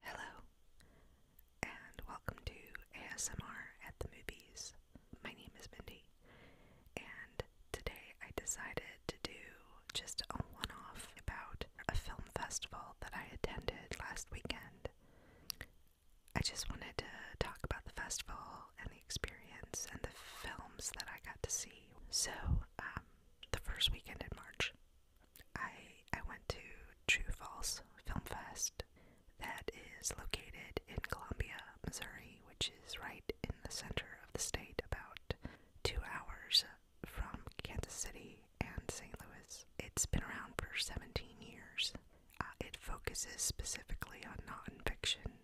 Hello, and welcome to ASMR at the Movies. My name is Mindy, and today I decided to do just a one off about a film festival that I attended last weekend. I just wanted to talk about the festival and the experience and the films that I got to see. So, um, the first weekend in March I I went to True False Film Fest that is located in Columbia, Missouri, which is right in the center of the state, about two hours from Kansas City and St. Louis. It's been around for 17 years. Uh, it focuses specifically on non-fiction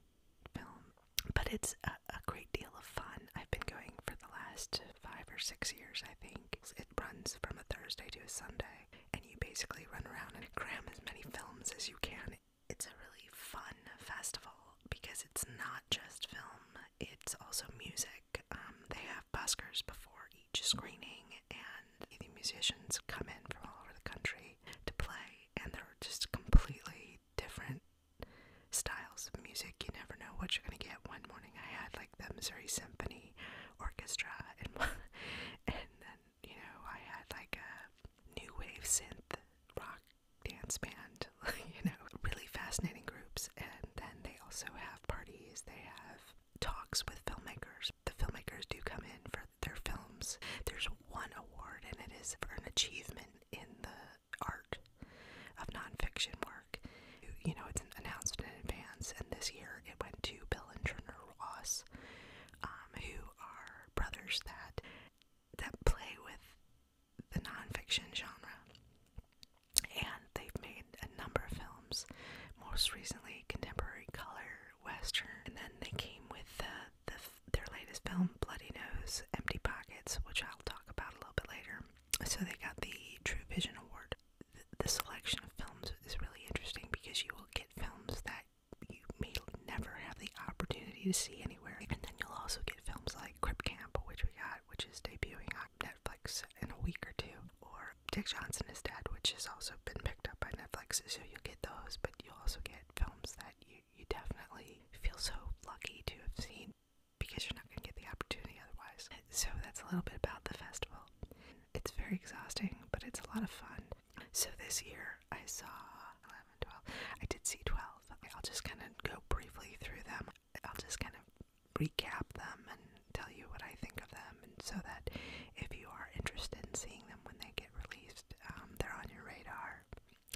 film, but it's a great deal of fun. I've been going for the last five or six years, I think. It runs from a Thursday to a Sunday, and you basically run around and cram as many films as you can. It's a really fun festival because it's not just film, it's also music. Um, they have buskers before each screening, and the musicians come in from all over the country to play, and they're just completely different styles of music. You never know what you're going to get. One morning I had like the Missouri Symphony Orchestra and and then you know I had like a new wave synth rock dance band, you know, really fascinating groups. And then they also have parties. They have talks with filmmakers. The filmmakers do come in for their films. There's one award, and it is for an achievement in the art of nonfiction work. You know, it's announced in advance, and this year it went to Bill and Turner Ross, um, who are brothers that that play with the nonfiction genre, and they've made a number of films. Most recently, contemporary color western, and then they came with their latest film, Bloody Nose, Empty Pockets, which I'll talk about a little bit later. So they got the True Vision Award the selection of films is really interesting because you will get films that you may never have the opportunity to see anywhere. And then you'll also get films like Crip Camp, which we got, which is debuting on Netflix in a week or two, or Dick Johnson is Dead, which has also been picked up by Netflix. So you'll get those, but you'll also get films that you, you definitely feel so lucky to have seen because you're not going to get the opportunity otherwise. So that's a little bit about the festival. It's very exhausting, but it's a lot of fun. So this year I saw 11, 12. I did see 12. I'll just kind of go briefly through them. I'll just kind of recap them and tell you what I think of them, and so that if you are interested in seeing them when they get released, um, they're on your radar.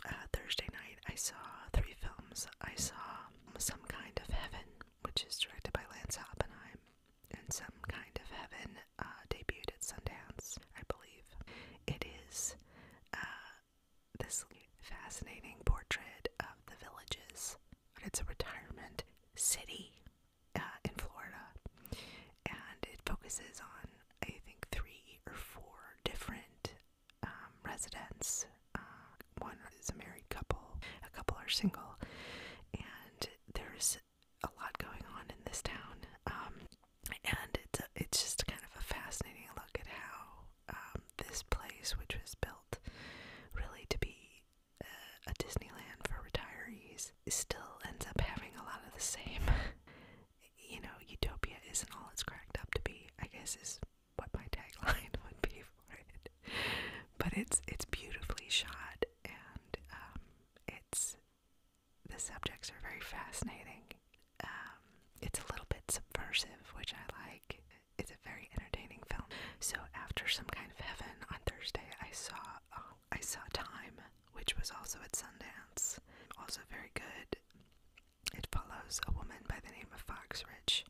Uh, Thursday night, I saw three films. I saw Some Kind of Heaven, which is directed by Lance Oppenheim, and Some Kind of Heaven uh, debuted at Sundance, I believe. It is uh, this fascinating portrait of the villages, but it's a retirement city uh, in Florida, and it focuses on, I think, three or four different um, residents. Uh, one is a married couple, a couple are single, and there's a lot going on in this town. Um, and it's, a, it's just kind of a fascinating look at how um, this place, which was built really to be a, uh, a Disneyland for retirees, still ends up having a lot of the same. you know, utopia isn't all it's cracked up to be, I guess, is what my tagline would be for it. But it's it's beautifully shot, and um, it's the subjects are very fascinating. Um, it's a little bit subversive, which I like. It's a very entertaining film. So after some kind of heaven on Thursday, I saw oh, I saw Time, which was also at Sundance, also very good. It follows a woman by the name of Fox Rich.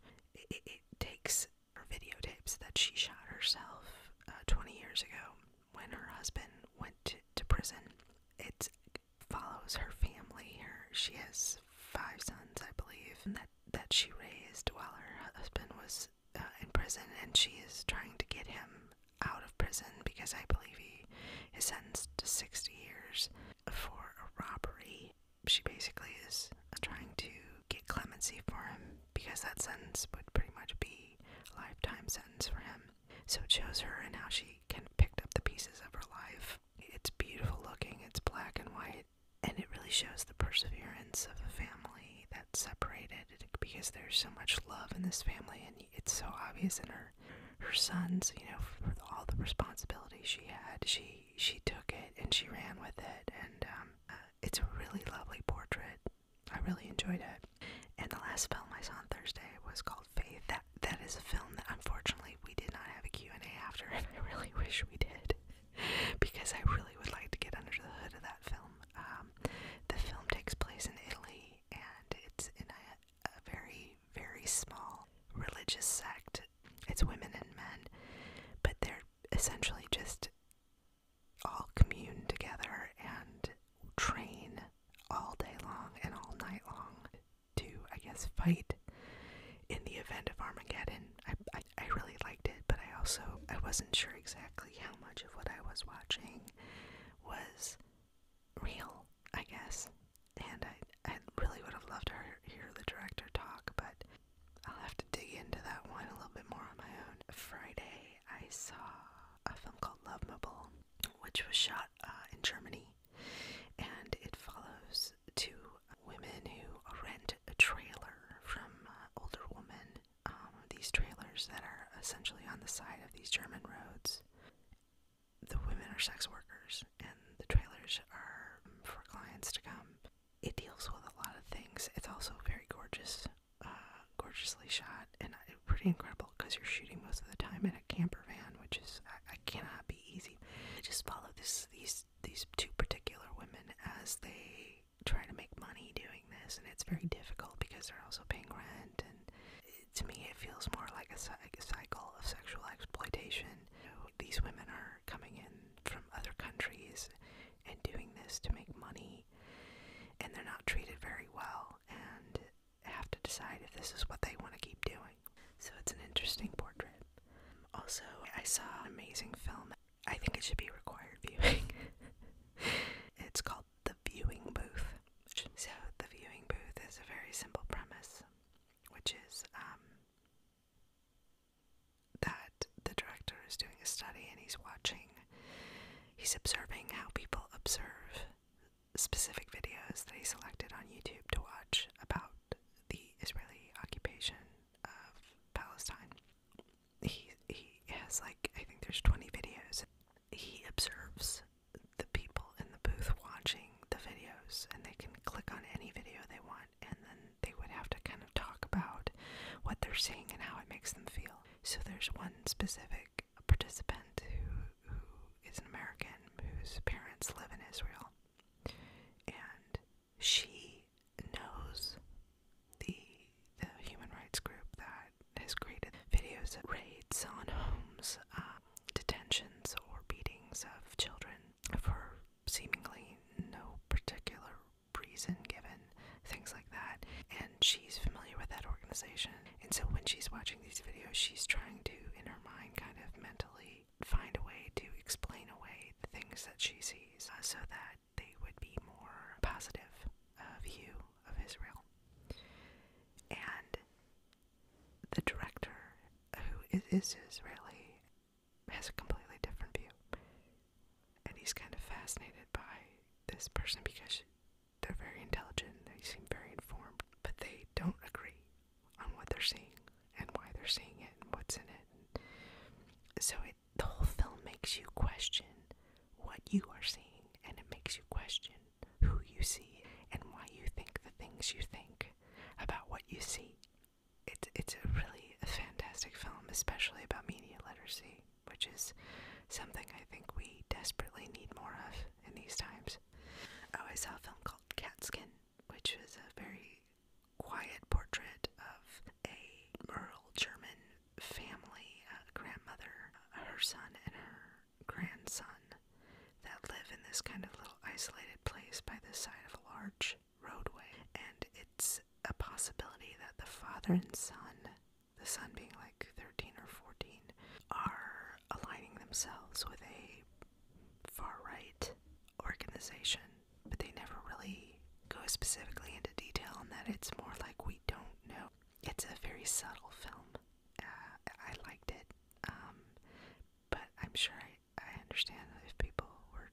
it, takes her videotapes that she shot herself uh, 20 years ago when her husband went to, prison. It follows her family. Her, she has five sons, I believe, that, that she raised while her husband was uh, in prison, and she is trying to get him out of prison because I believe he is sentenced to 60 years for a robbery. She basically is trying to get clemency for him because that sentence would pretty much be a lifetime sentence for him. So it shows her and how she kind of picked up the pieces of her life. It's beautiful looking, it's black and white, and it really shows the perseverance of a family that's separated because there's so much love in this family, and it's so obvious in her her sons, you know, for all the responsibility she had, she she took it and she ran with it, and um, uh, it's a really lovely portrait. I really enjoyed it. And the last film I saw on Thursday was called Faith. That that is a film that unfortunately we did not have a Q and A after, and I really wish we did, because I really would like to get under the hood of that film. Um, the film takes place in Italy, and it's in a, a very very small religious sect it's women and men, but they're essentially just all commune together and train all day long and all night long to, I guess, fight in the event of Armageddon. I, I, really liked it, but I also, I wasn't sure exactly how much of what I was watching was real, I guess and I, I really would have loved to hear the director talk, but I'll have to dig into that one a little bit more on my own. Friday, I saw a film called Love Mobile, which was shot uh, in Germany, and it follows two women who rent a trailer from uh, older women. Um, these trailers that are essentially on the side of these German roads, the women are sex workers and the trailers are for clients to come. It deals with a lot of things. It's also very gorgeous, uh, gorgeously shot, and uh, pretty incredible because you're shooting most of the time in a camper van, which is I, cannot be easy. I just follow these these two particular women as they try to make money doing this, and it's very difficult because they're also paying rent. And eh, to me, it feels more like a, cycle of sexual exploitation these women are coming in from other countries and doing this to make money, and they're not treated very well and have to decide if this is what they want to keep doing. So it's an interesting portrait. Also, I saw an amazing film. I think it should be required viewing. it's called The Viewing Booth. So, The Viewing Booth is a very simple premise which is um, that the director is doing a study and he's watching, he's observing how people observe specific videos that he selected on YouTube to watch about the Israeli occupation of Palestine. He he has like I think there's 20 videos. He observes the people in the booth watching the videos, and they can click on any video they want, and then they would have to kind of talk about what they're seeing and how it makes them feel. So there's one specific participant who is an American whose parents live in Israel, and she knows the human rights group that has created videos of raids on homes. Uh, detentions or beatings of children for seemingly no particular reason given, things like that. And she's familiar with that organization. And so when she's watching these videos, she's trying to, in her mind, kind of mentally find a way to explain away the things that she sees uh, so that they would be more positive view of Israel. And the director, who is Israeli, has a completely different view. And he's kind of fascinated by this person because they're very intelligent, they seem very informed, but they don't agree on what they're seeing and why they're seeing it and what's in it. So it, the whole film makes you question what you are seeing, and it makes you question who you see and why you think the things you think about what you see. It's it's a really a fantastic film, especially about media literacy, which is something I think we desperately need more of in these times. Oh, I saw a film called Catskin, which was a very quiet portrait of a rural German family, a grandmother, her son, and her grandson that live in this kind of little isolated place by the side of a large roadway. And it's a possibility that the father and son, the son being like 13 or 14, are aligning themselves with a far right organization, but they never really go specifically into detail and that. It's more like we don't know. It's a very subtle film uh, I liked it, um, but I'm sure I, I understand if people were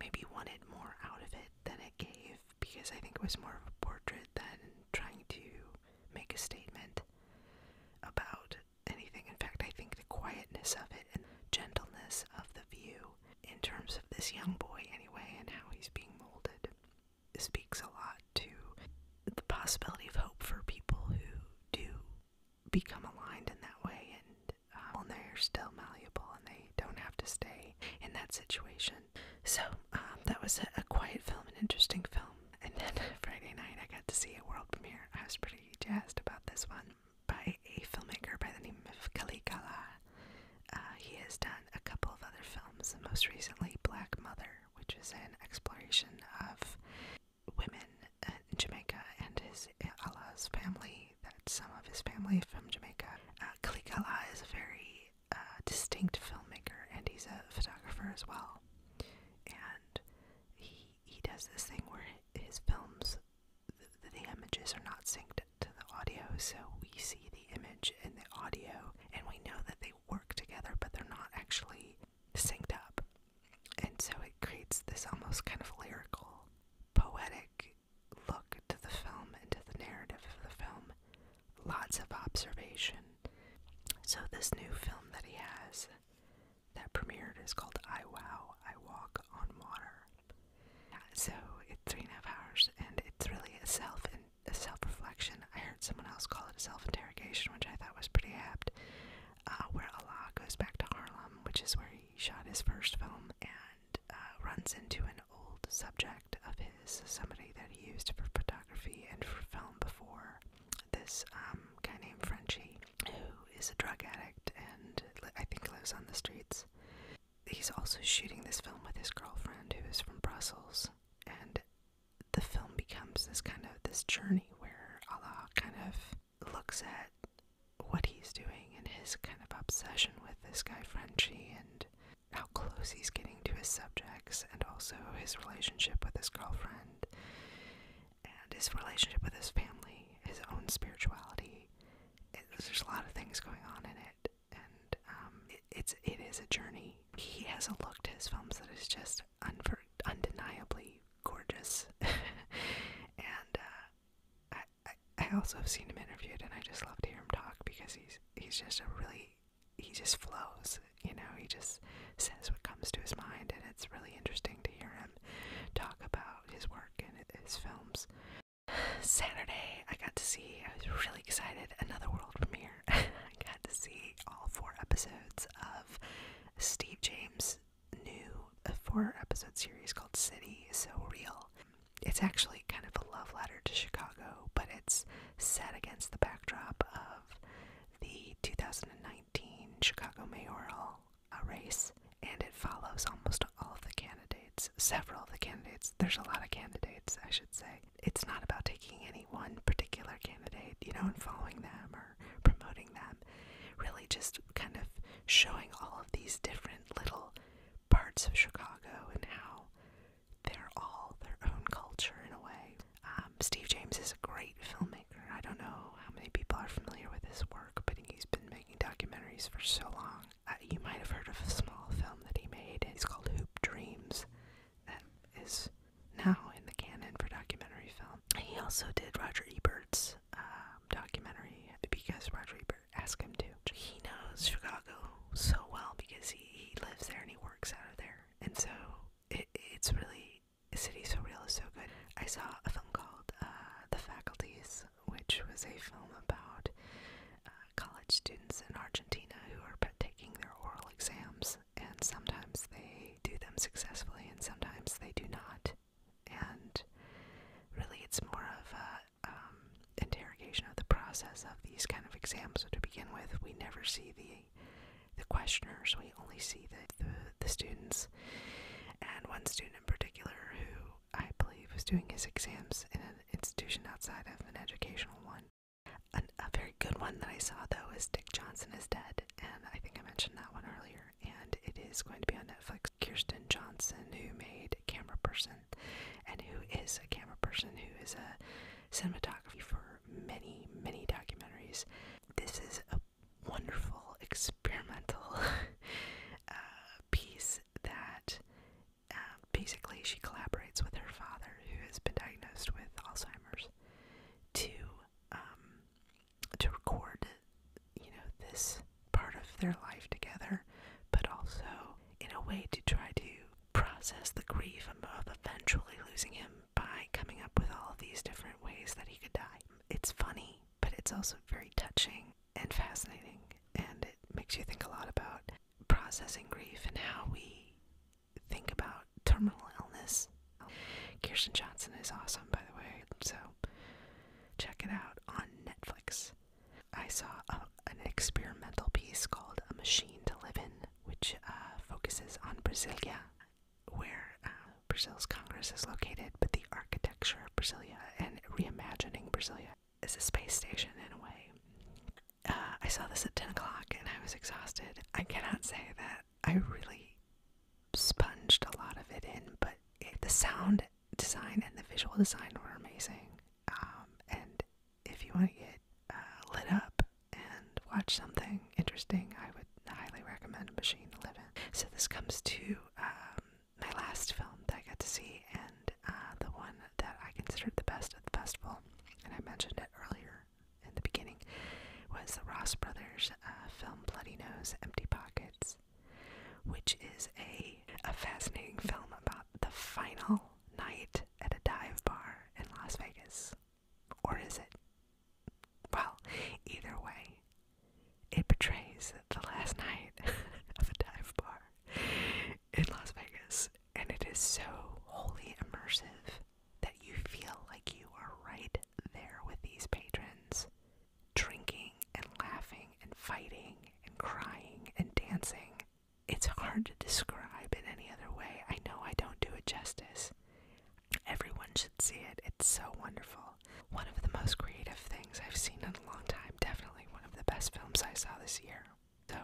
maybe wanted more out of it than it gave because I think it was more of a portrait than trying to make a statement about anything. In fact, I think the quietness of it and gentleness of the view in terms of this young boy anyway and how he's being molded speaks a lot to the possibility of hope for people who do become aligned in that way and um, and they're still malleable and they don't have to stay in that situation. So um, that was a, quiet film, an interesting film. And then Friday night I got to see a world premiere. I was pretty jazzed about this one by a filmmaker by the name of Kalikala. Uh, he has done a couple of other films, most recently Black Mother, which is an exploration of women in Jamaica and his Allah's family, that some of his family from Jamaica. Uh, Khalik Allah is a very uh, distinct filmmaker and he's a photographer as well. And he, he does this thing where his films, the images are not synced to the audio, so we see the image and the audio and we know that they work together, but they're not actually synced up. And so it creates this almost kind of lyrical, poetic look to the film and to the narrative of the film. Lots of observation. So, this new film that he has that premiered is called I Wow, I Walk on Water. So, it's three and a half hours, and it's really a self a self reflection I heard someone else call it a self interrogation, which I thought was pretty apt, uh, where Allah goes back to Harlem, which is where he shot his first film, and uh, runs into an old subject of his, somebody that he used for photography and for film before. This um, guy named Frenchie, who is a drug addict and I think lives on the streets. He's also shooting this film with his girlfriend, who is from Brussels, and the film becomes this kind of this journey where Allah kind of looks at what he's doing and his kind of obsession with this guy Frenchie and how close he's getting to his subjects and also his relationship with his girlfriend and his relationship with his family, his own spirituality. there's a lot of things going on in it, and um, it, it's it is a journey. He has a look to his films that is just undeniably gorgeous. and uh, I, I, I also have seen him interviewed, and I just love to hear him talk because he's he's just a really he just flows, you know. He just says what comes to his mind, and it's really interesting to hear him talk about his work and his films. Saturday, I got to see. I was really excited. Another world premiere. I got to see all four episodes of Steve James' new uh, four episode series called City So Real. It's actually kind of a love letter to Chicago, but it's set against the backdrop of the 2019 Chicago mayoral race, and it follows almost all of the candidates, several of the candidates. There's a lot of candidates, I should say, it's not about taking any one particular candidate, you know, and following them or promoting them. Really, just kind of showing all of these different little parts of Chicago and how they're all their own culture in a way. Um, Steve James is a great filmmaker. I don't know how many people are familiar with his work, but he's been making documentaries for so long. Uh, you might have heard of a small film that he made. It's called Hoop Dreams that is now in the canon for documentary film. He also did Roger Ebert's um, documentary because Roger Ebert asked him to. He knows Chicago so well because he, he lives there and he works out of there. And so it, it's really, City So Real is so good. I saw a film called uh, The Faculties, which was a film about uh, college students in Argentina who are taking their oral exams and sometimes they do them successfully, and sometimes they do not. And really, it's more of a um, interrogation of the process of these kind of exams. So to begin with, we never see the the questioners; we only see the the students. And one student in particular, who I believe was doing his exams in an institution outside of an educational one, a, a very good one that I saw though is Dick Johnson is Dead, and I think I mentioned that one earlier. And it is going to be on Netflix. Kirsten Johnson, who made Camera Person, and who is a camera person, who is a cinematography for many, many documentaries. This is a wonderful experimental uh, piece that um, basically, she collaborates with her father, who has been diagnosed with Alzheimer's, to um, to record, you know, this part of their life together, but also in a way to try to process the grief of eventually losing him by coming up with all these different ways that he could die. It's funny, but it's also very touching and fascinating, and it makes you think a lot about processing grief and how we think about terminal illness. Kirsten Johnson is awesome, by the way, so check it out on Netflix. I saw an experimental piece called A Machine to Live In, which uh, focuses on Brasilia, where uh, Brazil's Congress is located, but the architecture of Brasilia and reimagining Brasilia is a space station in a way. Uh, I saw this at 10 o'clock and I was exhausted. I cannot say that I really sponged a lot of it in, but the sound design and the visual design were amazing. Um, and if you want to get uh, lit up and watch something interesting, I would highly recommend Machine to Live In. So this comes to um, my last film that I got to see, and uh, the one that I considered the best of the festival, and I mentioned it earlier in the beginning, was the Ross Brothers uh, film Bloody Nose Empty Pockets, which is a fascinating film about the final night at a dive bar in Las Vegas. Or is it? Well, either way, it portrays the last night of a dive bar in Las Vegas, and it is so wholly immersive that you feel like you are right there with these patrons, drinking and laughing and fighting and crying and dancing. It's hard to describe in any other way. I know I don't do it justice. Everyone should see it. It's so wonderful. One of the most creative things I've seen in a long time. Definitely one of the best films I saw this year. So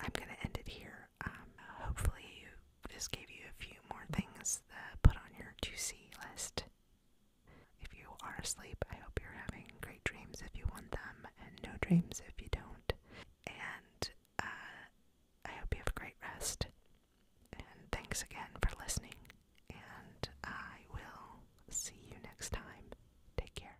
I'm going to end it here. Um, hopefully, you, this gave you a few more things to put on your to see list. If you are asleep, I hope you're having great dreams if you want them, and no dreams if you don't. And uh, I hope you have a great rest. And thanks again for listening. And I will see you next time. Take care.